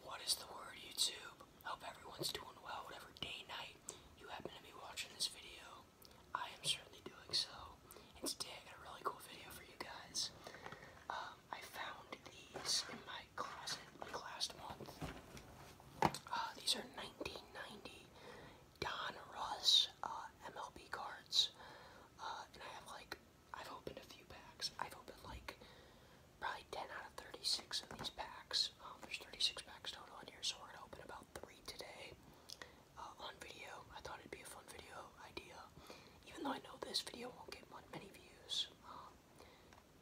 What is the word, YouTube? Hope everyone's doing well, whatever day, night you happen to be watching this video. I am certainly doing so, and today I got a really cool video for you guys. Um, I found these in my closet like last month. Uh, these are 1990 Don Ross uh, MLB cards, uh, and I have like I've opened a few packs. I've opened like probably 10 out of 36 of these packs. Um, there's 36 packs total on here, so we're gonna open about three today uh, on video. I thought it'd be a fun video idea, even though I know this video won't get many views. Um,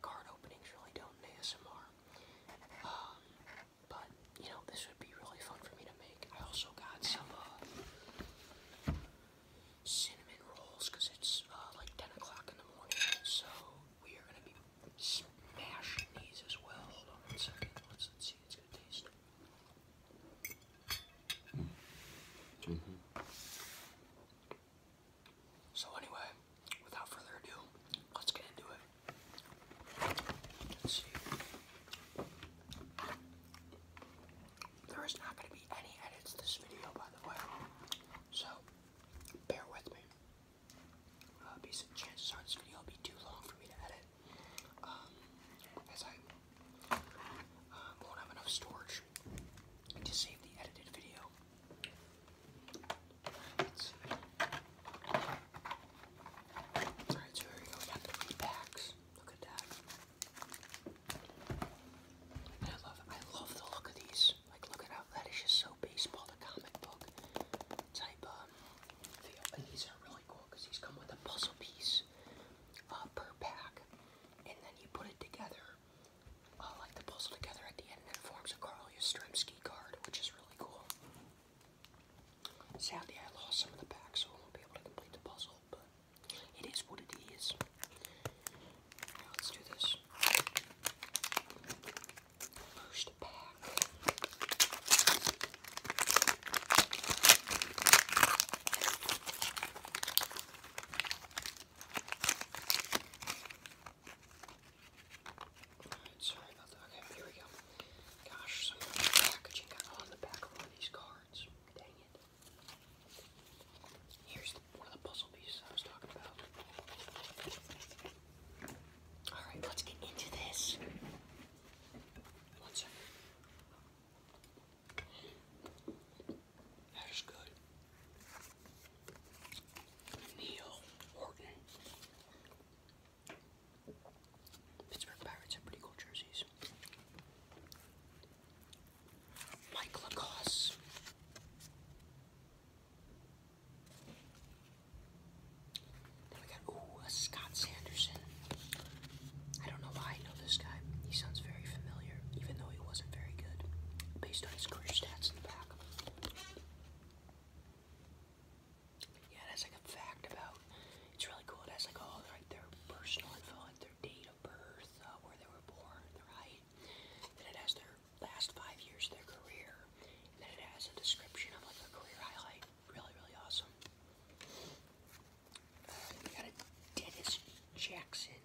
card openings really don't in ASMR. Um, but you know, this would be really fun for me to make. I also got some uh, cinnamon rolls because it's uh, like 10 o'clock in the morning, so we are gonna be smashing these as well. Hold on one second. Let's, let's see. It's gonna taste. Mm-hmm. So anyway, without further ado, let's get into it. There is not going to be any edits this video, by the way. So, bear with me. Uh, because chances this video will be too long for me to edit. Um, as I um, won't have enough storage to save the edited video. Let's see. Alright, so here we go. We got the repacks. Look at that. I love I love the look of these. Like look at how that is just so baseball to comic book type um, And these are really cool because these come with a puzzle piece uh, per pack. And then you put it together, uh, like the puzzle together at the end, and it forms a Carl card, which is really cool. Sadly, I lost some of the packs, so I won't be able to complete the puzzle, but it is what it is. let's do this. First pack. Alright, sorry about that. Okay, here we go. Gosh, some packaging on the back of one of these cards. Dang it. Here's one of the puzzle pieces I was talking about. Alright, let's get into this. One second. That is good. Neil Horton. Pittsburgh Pirates have pretty cool jerseys. Mike Lacoste. we got, ooh, Scott Sanderson. I don't know why I know this guy. He sounds very familiar, even though he wasn't very good, based on his career stats in the back. Yeah, that's like a fact about. It's really cool. It has like all their personal info, like their date of birth, uh, where they were born, their height. Then it has their last five years of their career. And then it has a description of like a career highlight. Really, really awesome. we uh, got Dennis Jackson.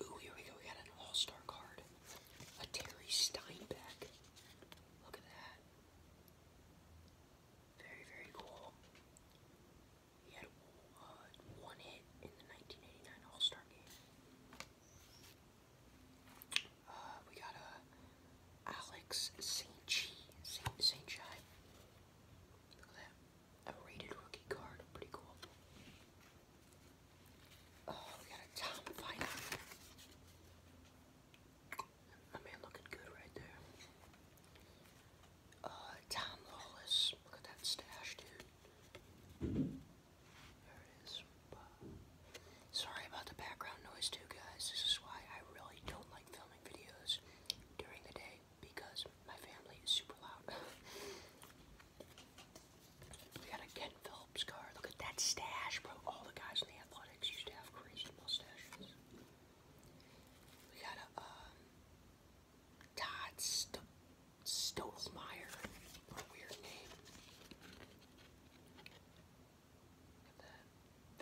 Ooh, here we go. We got an all-star card. A Terry Steinbeck. Look at that. Very, very cool. He had one uh, hit in the 1989 All-Star game. Uh, we got a uh, Alex St. Saint St. Chai. Look at that. A rated rookie card. Pretty cool. Oh, we got a Tom fight. My man looking good right there. Uh, Tom Lawless. Look at that stash, dude. There it is. Sorry about the background noise, too, guys. This is why I really don't like filming videos during the day because my family is super loud. We got a Ken Phillips car. Look at that stash, bro. All the guys in the athletics used to have crazy mustaches. We got a um, Todd St weird name.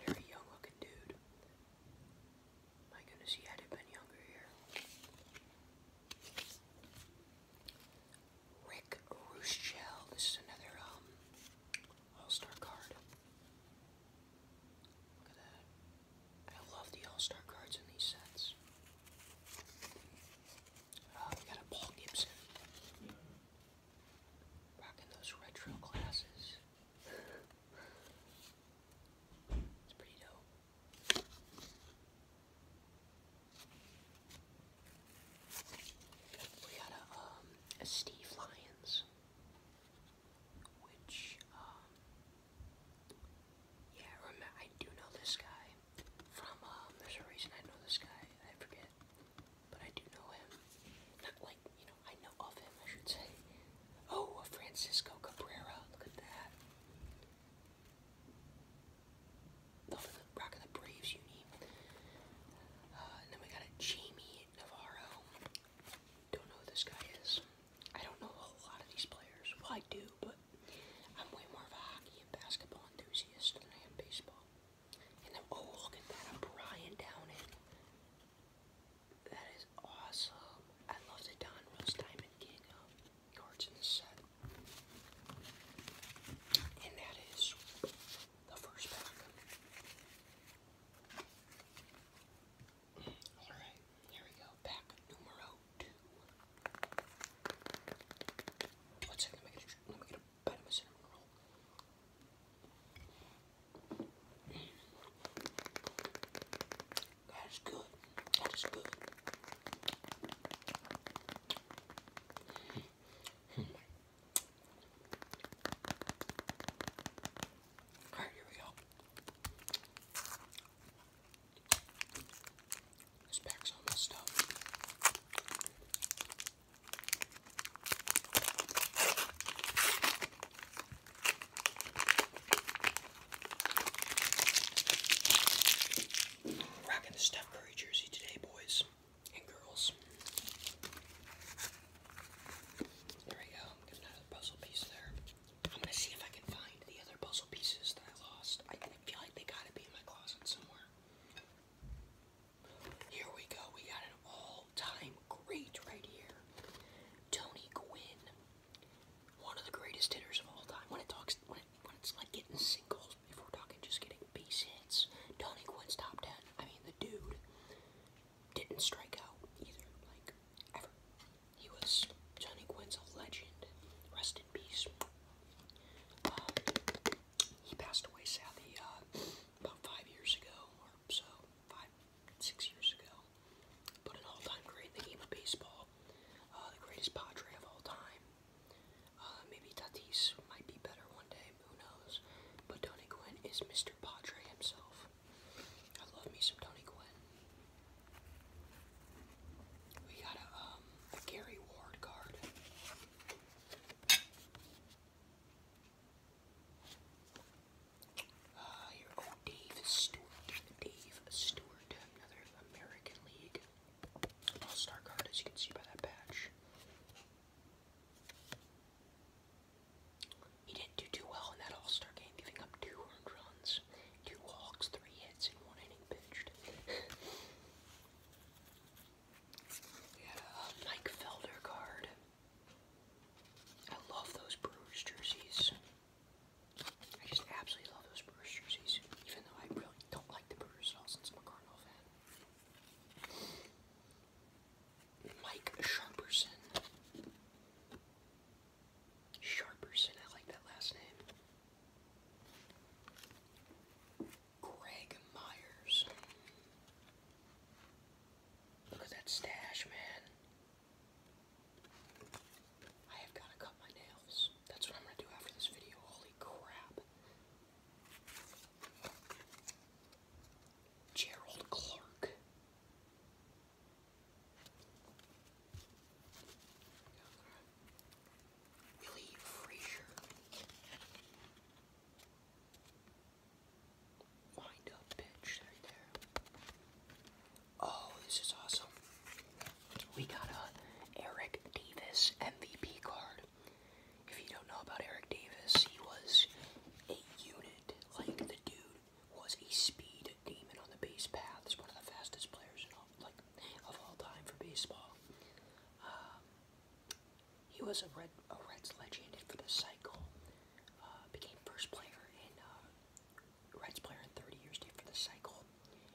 Very young looking dude. My goodness, he had it been younger here. Rick Ruschel. This is another um, All-Star card. I love the All-Star cards in these sets. Oh, we got a Paul Gibson. Rocking those retro glasses. it's pretty dope. We got um, a, Steve Lyons, which, um, yeah, I do know this guy from, um, there's a reason I know this guy, I forget, but I do know him. Not like, you know, I know of him, I should say. Oh, Francisco Cabrera, look at that the Rock of the Braves uni. Uh, and then we got a Jamie Navarro. Don't know who this guy is. I don't know a whole lot of these players. Well, I do, but I'm way more of a hockey and basketball enthusiast than I am baseball. And then, oh, look at that, a Brian Downing. That is awesome. I love the Don Rose Diamond King cards um, in this set. And that is the first pack. Alright, here we go. Pack numero two. let me get a, let me roll. That is good. That is good. All right, here we go. This pack's all messed up. Rocking the Steph Curry jersey today, boys and girls. There we go. Got another puzzle piece there. I'm gonna see if I can find the other puzzle pieces that I lost. I feel like they gotta be in my closet somewhere. Here we go. We got an all-time great right here. Tony Gwynn one of the greatest hitters of all time. When it talks, when, it's like getting singles, if we're talking just getting base hits, Donnie Quinn's top ten. I mean, the dude didn't strike out either, like ever. He was Johnny Quinn's a legend. Rest in peace. Um, he passed away, sadly, uh, about five years ago or so, five, six years ago. But an all-time great in the game of baseball, uh, the greatest Padre of all time. Uh, maybe Tatis might be better one day, who knows? But Tony Gwynn is Mr. Padre himself. I love me some Tony Gwynn. We got a um, Gary Ward card. Uh, ah, here, Dave Stewart. Dave Stewart, another American League All Star card, as you can see by that patch. He didn't do too well in that All Star game, giving up two earned runs, two walks, three hits, and one inning pitched. we had a Mike Felder card. I love those Brewers jerseys. I just absolutely love those Brewers jerseys, even though I really don't like the Brewers at all since I'm a Cardinal fan. Mike Sharperson. Sharperson, I like that last name. Greg Myers. Look at that stash, man. I have got to cut my nails. That's what I'm going to do after this video. Holy crap. Gerald Clark. Willie Frazier. Wind up pitch right there. Oh, this is awesome. We got a Eric Davis MVP card. If you don't know about Eric Davis, he was a unit. Like the dude was a speed demon on the base paths, one of the fastest players like of all time for baseball. Uh, he was a red a Reds legend for the cycle uh, became first player in uh, Reds player in 30 years to for the cycle,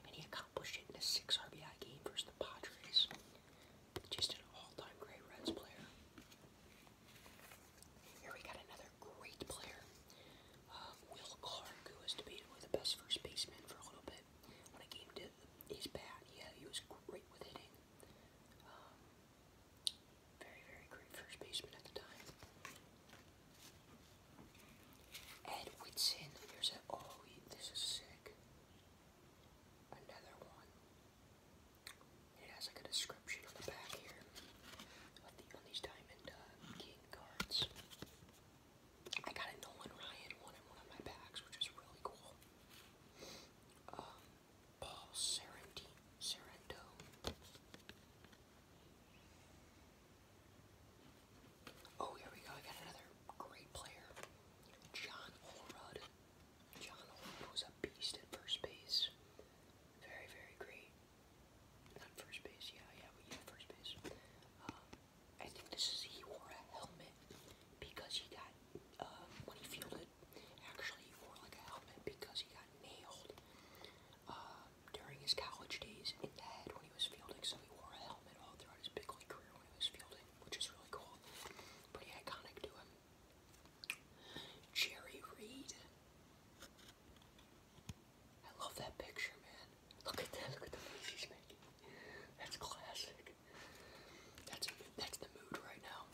and he accomplished it in a six RBI game versus the Padres. Just an all-time great Reds player. Here we got another great player, uh, Will Clark, who was debated with the best first baseman for a little bit. When it came to his bat, yeah, he was great with hitting. Um, very, very great first baseman at the time. Ed Whitson. Here's a. Oh, this is sick. Another one. It has like a description on the back here on these Diamond uh, King cards. I got a Nolan Ryan one in one of my packs, which is really cool. Um, Paul Serenti, Oh, here we go. I got another great player, John Olrud. John Olrud was a beast at first base. Very, very great. Not first base, yeah, yeah, yeah, first base. Um, I think this is he wore a helmet because he got uh, when he fielded, actually wore like a helmet because he got nailed uh, during his college days in the head when he was fielding, so he wore a helmet all throughout his big league career when he was fielding, which is really cool. Pretty iconic to him. Jerry Reed. I love that picture, man. Look at that. Look at the face he's making. That's classic. That's that's the mood right now.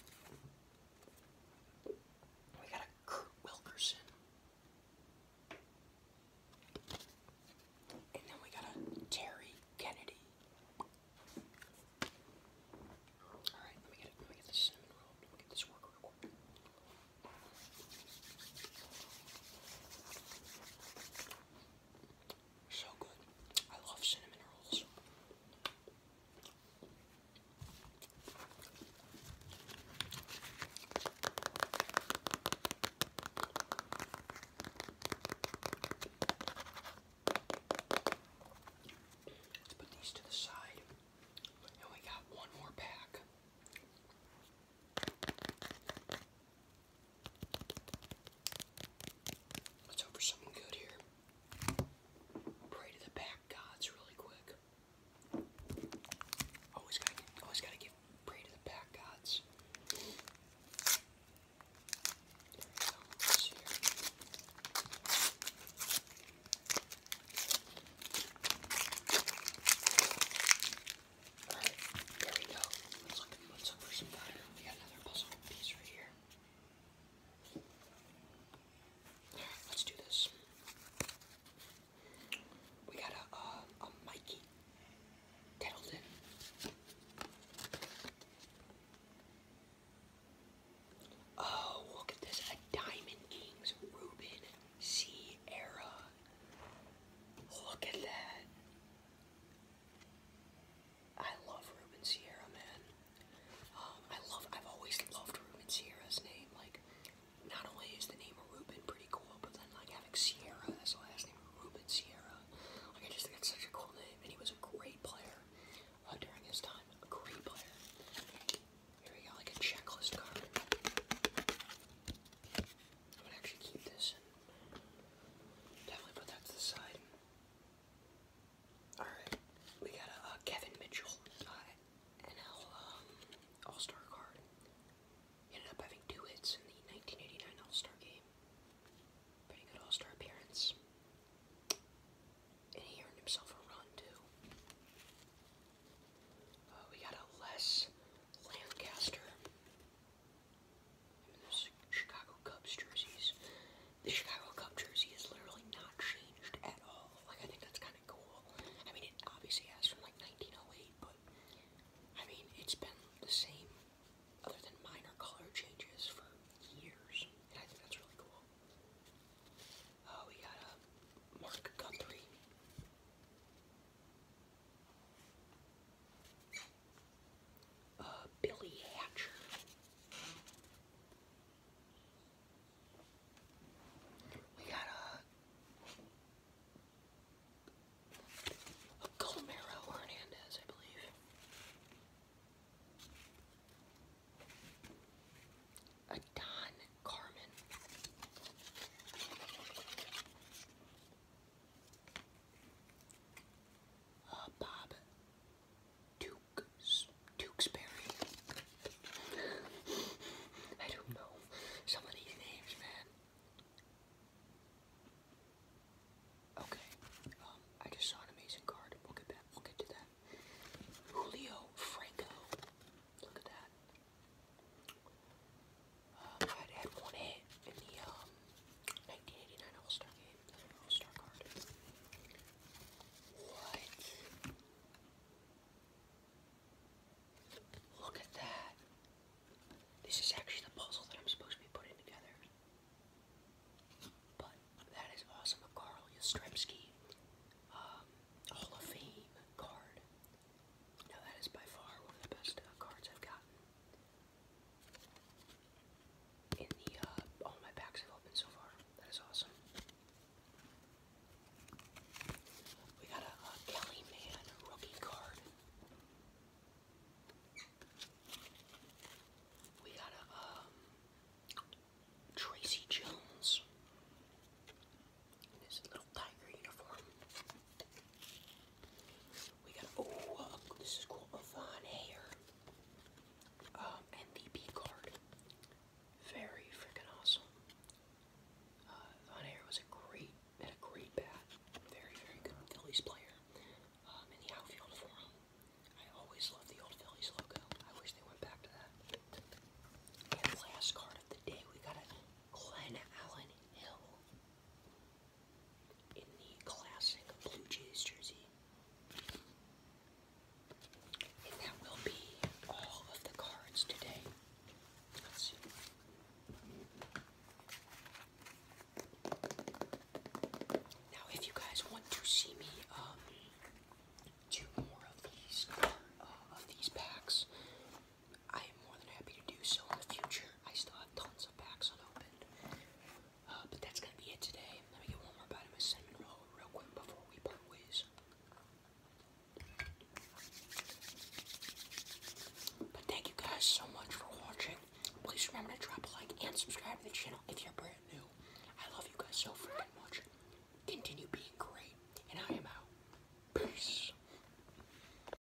We got a Kurt Wilkerson. And then we got a Terry Kennedy. Alright, let me get it. Let me get this cinnamon roll. Let me get this work real quick. So good. I love cinnamon rolls. Let's put these to the side. And we got one more pack. Let's hope something good here. Pray to the back gods really quick. Always gotta always gotta give pray to the back gods. There here. we go. Let's look, let's look for some fire. We got another puzzle piece right here. Let's do this. We got a, uh, a Mikey Tettleton. Oh, look at this. A Diamond Kings Ruben Sierra. Look at that. I love Ruben Sierra, man. Um, I love, I've always loved Ruben Sierra's name. Like, not only is the name of Ruben pretty cool, but then like having Sierra as the last name, Ruben Sierra. Like, I just think that's such a cool name, and he was a great player uh, during his time. A great player. Here we got like a checklist card. I'm gonna actually keep this definitely put that to the side. Alright, we got a Kevin Mitchell, uh, um, NL All Star card. ended up having two hits in the 1989 All Star game. Pretty good All Star appearance. And he earned himself a run, too. Uh, we got a Les Lancaster. Chicago Cubs jerseys. The Chicago Cubs jersey has literally not changed at all. Like, I think that's kind of cool. I mean, it obviously has from like 1908, but I mean, it's been the same, other than minor color changes, for years. And I think that's really cool. Uh, we got a uh, Mark Guthrie. Uh, Billy Hatcher. We got a, a Colmero Hernandez, I believe. A Don Carmen. Uh, Bob Duke Dukesbury. I don't know some of these names, man. Okay, um, I just saw an amazing card. We'll get back. We'll get to that. Julio Franco. Look at that. Um, I had one in the um, 1989 All-Star game. All-Star card. What? Look at that. This is actually the puzzle that I'm supposed to be putting together. But that is awesome. A Yastrzemski um, Hall of Fame card. Now that is by far one of the best uh, cards I've gotten. Uh, all my packs have opened so far. That is awesome. We got a, Kelly Man rookie card. We got a, um, Tracy Jones in little tiger uniform. We got oh uh, this is cool Avon Hair. MVP um, card. Very freaking awesome. Uh was a great had a great bat. Very, very good Phillies player. Um, in the outfield for him. I always love the old Phillies logo. I wish they went back to that. last card of the day, we got a Glenn Allen Hill in the classic Blue Jays jersey. And that will be all of the cards today. Now, if you guys want to see me um, do more of these uh, of these packs, I am more than happy to do so in the future. I still have tons of packs unopened. Uh, but that's going to be it today. Let me get one more bite of my cinnamon roll real quick before we part ways. But thank you guys so much for watching. Please remember to drop a like and subscribe to the channel if you're brand new. I love you guys so freaking much. Continue being great. And I am out. Peace.